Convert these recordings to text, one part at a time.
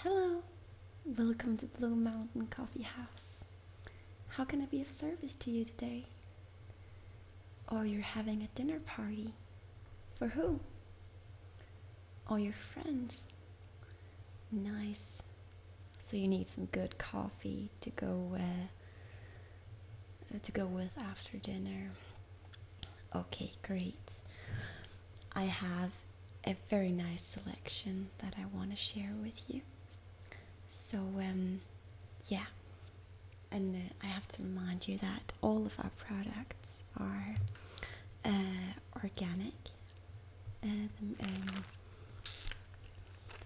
Hello, welcome to Blue Mountain Coffee House. How can I be of service to you today? Oh, you're having a dinner party. For who? or your friends. Nice. So you need some good coffee to go uh, to go with after dinner. Okay, great. I have a very nice selection that I want to share with you. So um, yeah, and uh, I have to remind you that all of our products are uh, organic uh, the, um,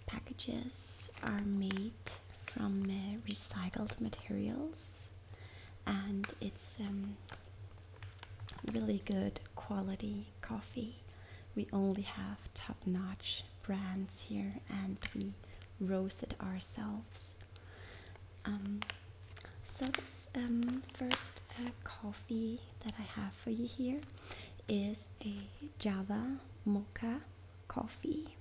packages are made from uh, recycled materials and it's um, really good quality coffee. We only have top-notch brands here and we roast it ourselves. Um, so this first uh, coffee that I have for you here is a Java mocha coffee.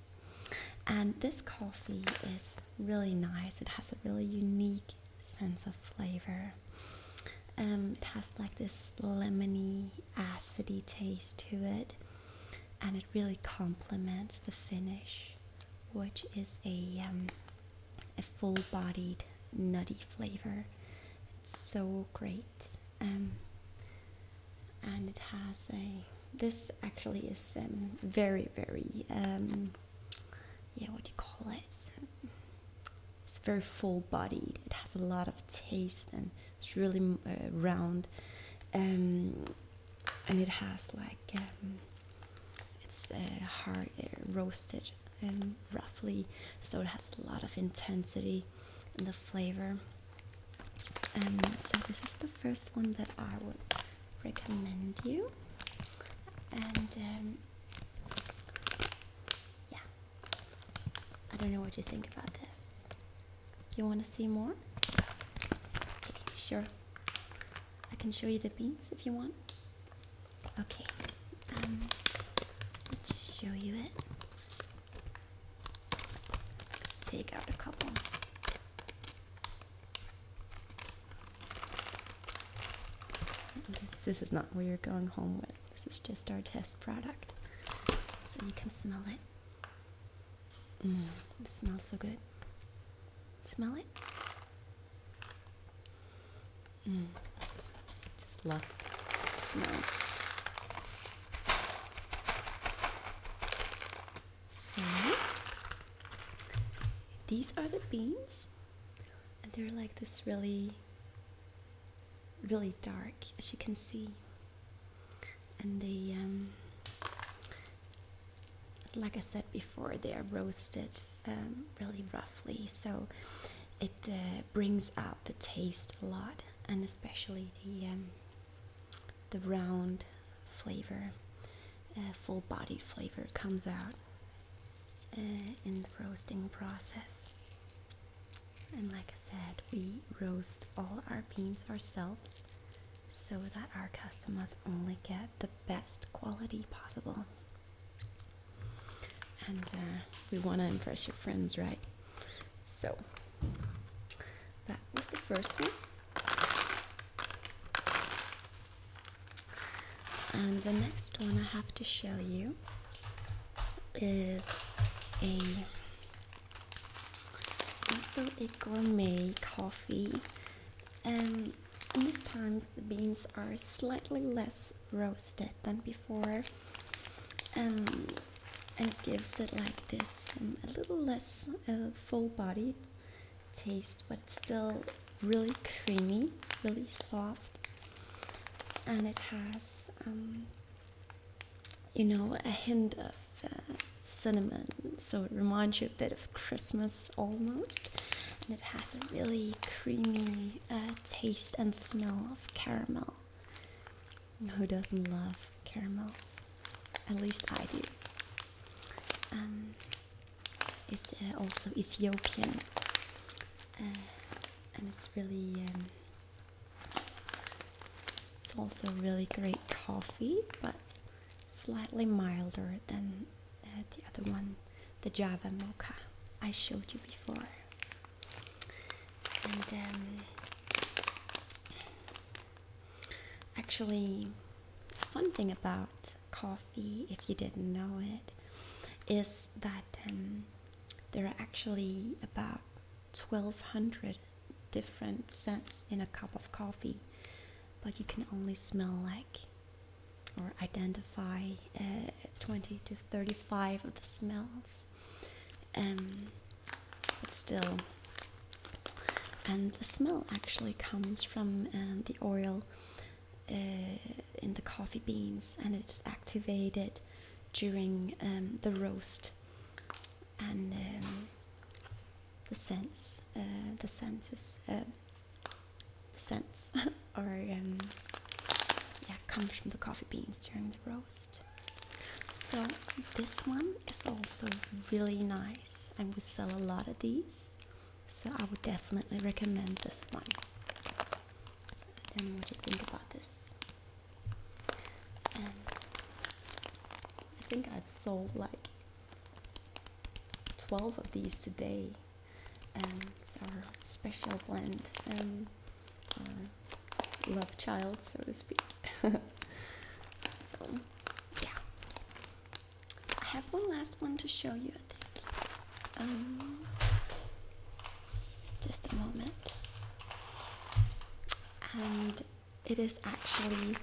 And this coffee is really nice. It has a really unique sense of flavor. Um, it has like this lemony, acidity taste to it, and it really complements the finish, which is a um, a full-bodied nutty flavor. It's so great. Um, and it has a this actually is um, very very um, yeah what do you call it it's very full bodied it has a lot of taste and it's really uh, round and and it has like it's uh, hard uh, roasted and roughly, so it has a lot of intensity in the flavor. And um, so this is the first one that I would recommend you. And um, yeah, I don't know what you think about this. You want to see more? Okay, sure. I can show you the beans if you want. Okay, um, i show you it. Take out a couple. This is not where you're going home with. This is just our test product. So you can smell it. Mm, smells so good. Smell it? Mm. smell. these are the beans, and they're like this really, really dark, as you can see. And they, um, like I said before, they are roasted um, really roughly, so it uh, brings out the taste a lot, and especially the um, the round flavor, uh, full-bodied flavor comes out uh, in the roasting process. And like I said, we roast all our beans ourselves so that our customers only get the best quality possible and uh, we want to impress your friends, right? So that was the first one. And the next one I have to show you is a also a gourmet coffee. and this time the beans are slightly less roasted than before um, and gives it like this um, a little less full bodied taste but still really creamy really soft and it has um, you know a hint of uh, cinnamon so it reminds you a bit of Christmas almost and it has a really creamy the uh, taste and smell of caramel. Who doesn't love caramel? At least I do. Um, it's also Ethiopian, uh, and it's really. Um, it's also really great coffee, but slightly milder than uh, the other one the Java mocha I showed you before. And um, actually, a fun thing about coffee, if you didn't know it, is that um, there are actually about 1200 different scents in a cup of coffee, but you can only smell like or identify uh, 20 to 35 of the smells. and um, but still, and the smell actually comes from um, the oil uh, in the coffee beans and it's activated during um, the roast and the sense uh, the senses the scents or um, yeah, comes from the coffee beans during the roast. So this one is also really nice, and we sell a lot of these. So I would definitely recommend this one. I don't know what you think about this. Um, I think I've sold like 12 of these today and it's our special blend, um, love child, so to speak. so, yeah. I have one last one to show you, I think. Um, just a moment. And it is actually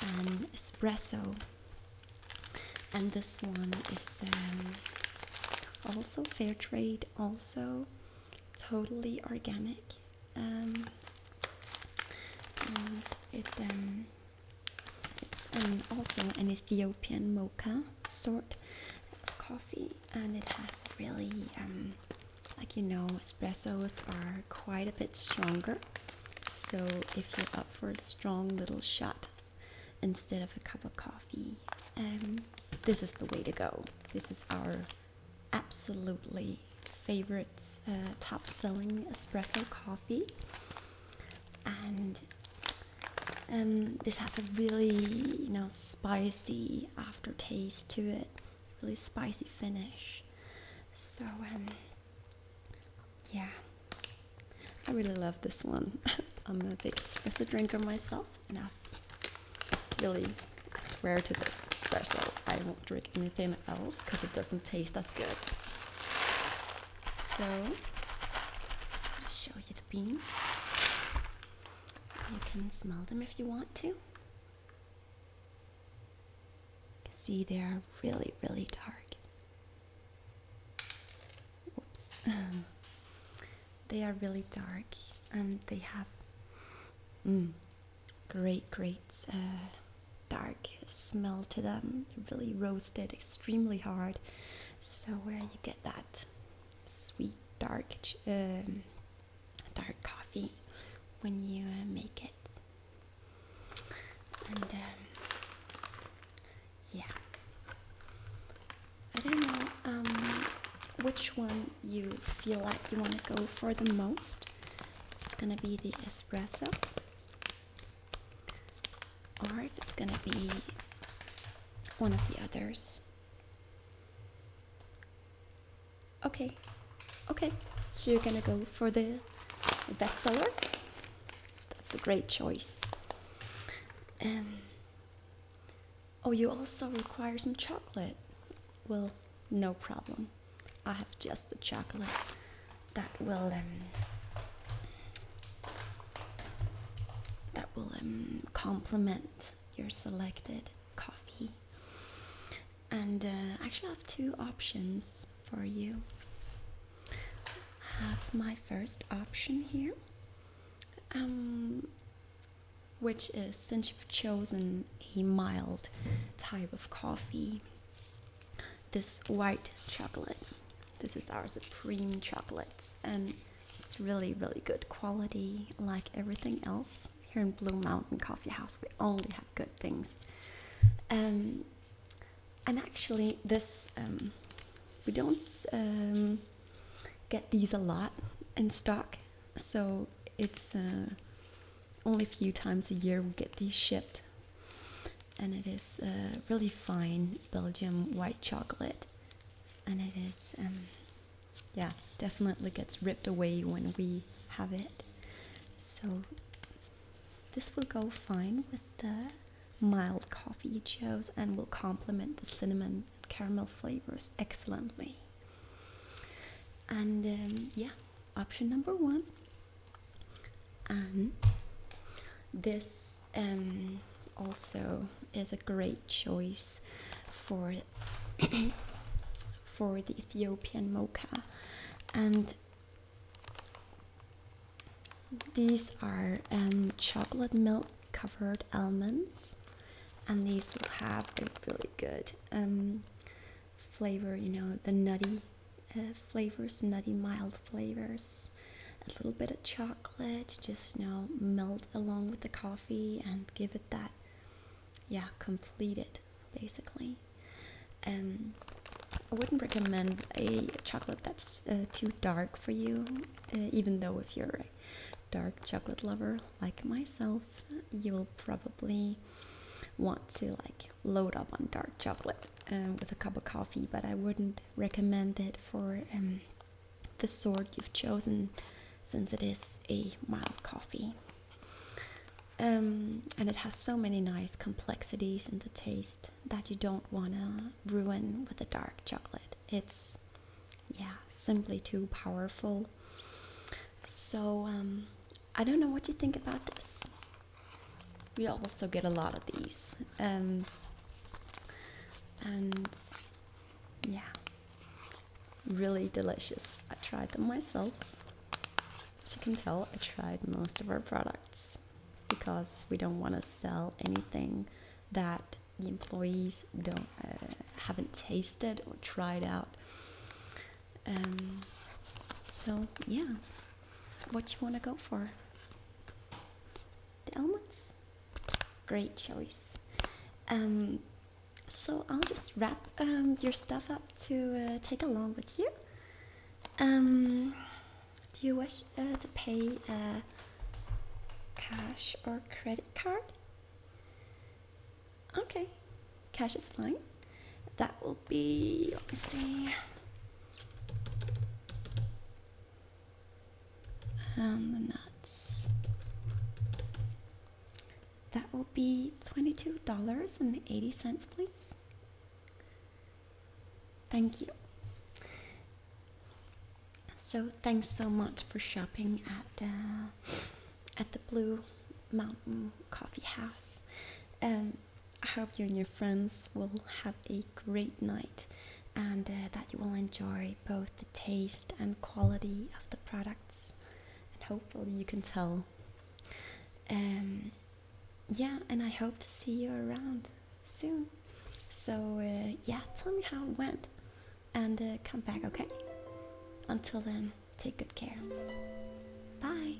an espresso and this one is um, also fair trade, also totally organic. Um, and um, it's also an Ethiopian mocha sort of coffee, and it has really like you know, espressos are quite a bit stronger. So if you're up for a strong little shot instead of a cup of coffee. Um, this is the way to go. This is our absolutely favorite uh, top selling espresso coffee. And um, this has a really, you know, spicy aftertaste to it, really spicy finish. So um, yeah, I really love this one. I'm a big espresso drinker myself, and I really I swear to this espresso. I won't drink anything else because it doesn't taste as good. So, I'll show you the beans. You can smell them if you want to. see they are really, really dark. Oops. Um, they are really dark and they have mm, great, great uh, dark smell to them. Really roasted, extremely hard. So where you get that sweet dark um, dark coffee when you uh, make it. Um, yeah i don't know um, which one you feel like you want to go for the most it's gonna be the espresso or if it's gonna be one of the others okay okay so you're gonna go for the bestseller that's a great choice. Um, oh, you also require some chocolate. Well, no problem. I have just the chocolate that will um, that will um, complement your selected coffee. And uh, I actually, have two options for you have my first option here, um, which is since you've chosen a mild type of coffee, this white chocolate. This is our supreme chocolates, and it's really, really good quality, like everything else. Here in Blue Mountain Coffee House, we only have good things. Um, and actually this um, we don't um, get these a lot in stock so it's uh, only a few times a year we get these shipped and it is uh, really fine belgium white chocolate and it is um, yeah definitely gets ripped away when we have it so this will go fine with the mild coffee you chose and will complement the cinnamon and caramel flavors excellently. And um, yeah, option number one. And this um, also is a great choice for for the Ethiopian mocha, and these are um, chocolate milk covered almonds, and these will have a really good um, flavor. You know the nutty uh, flavors, nutty mild flavors, a little bit of chocolate, just you know melt along with the coffee and give it that, yeah, complete it basically. Um, I wouldn't recommend a chocolate that's uh, too dark for you, uh, even though if you're a dark chocolate lover like myself, you'll probably want to like load up on dark chocolate um, with a cup of coffee. But I wouldn't recommend it for um, the sort you've chosen, since it is a mild coffee. Um, and it has so many nice complexities in the taste that you don't want to ruin with a dark chocolate. It's, yeah, simply too powerful. So, um, I don't know what you think about this. We also get a lot of these. Um, and yeah, really delicious. I tried them myself. As you can tell, I tried most of our products because we don't want to sell anything that the employees don't uh, haven't tasted or tried out. Um, so yeah, what you want to go for? The almonds, great choice. Um, so I'll just wrap um, your stuff up to uh, take along with you. Do you wish uh, to pay uh, cash or credit card? Okay, cash is fine. That will be, let me see. And um, the nuts. That will be $22.80, please. Thank you. So thanks so much for shopping at uh, at the Blue Mountain Coffee House. Um, I hope you and your friends will have a great night and uh, that you will enjoy both the taste and quality of the products and hopefully you can tell um, yeah, and I hope to see you around soon. So, uh, yeah, tell me how it went and uh, come back, okay? Until then, take good care. Bye.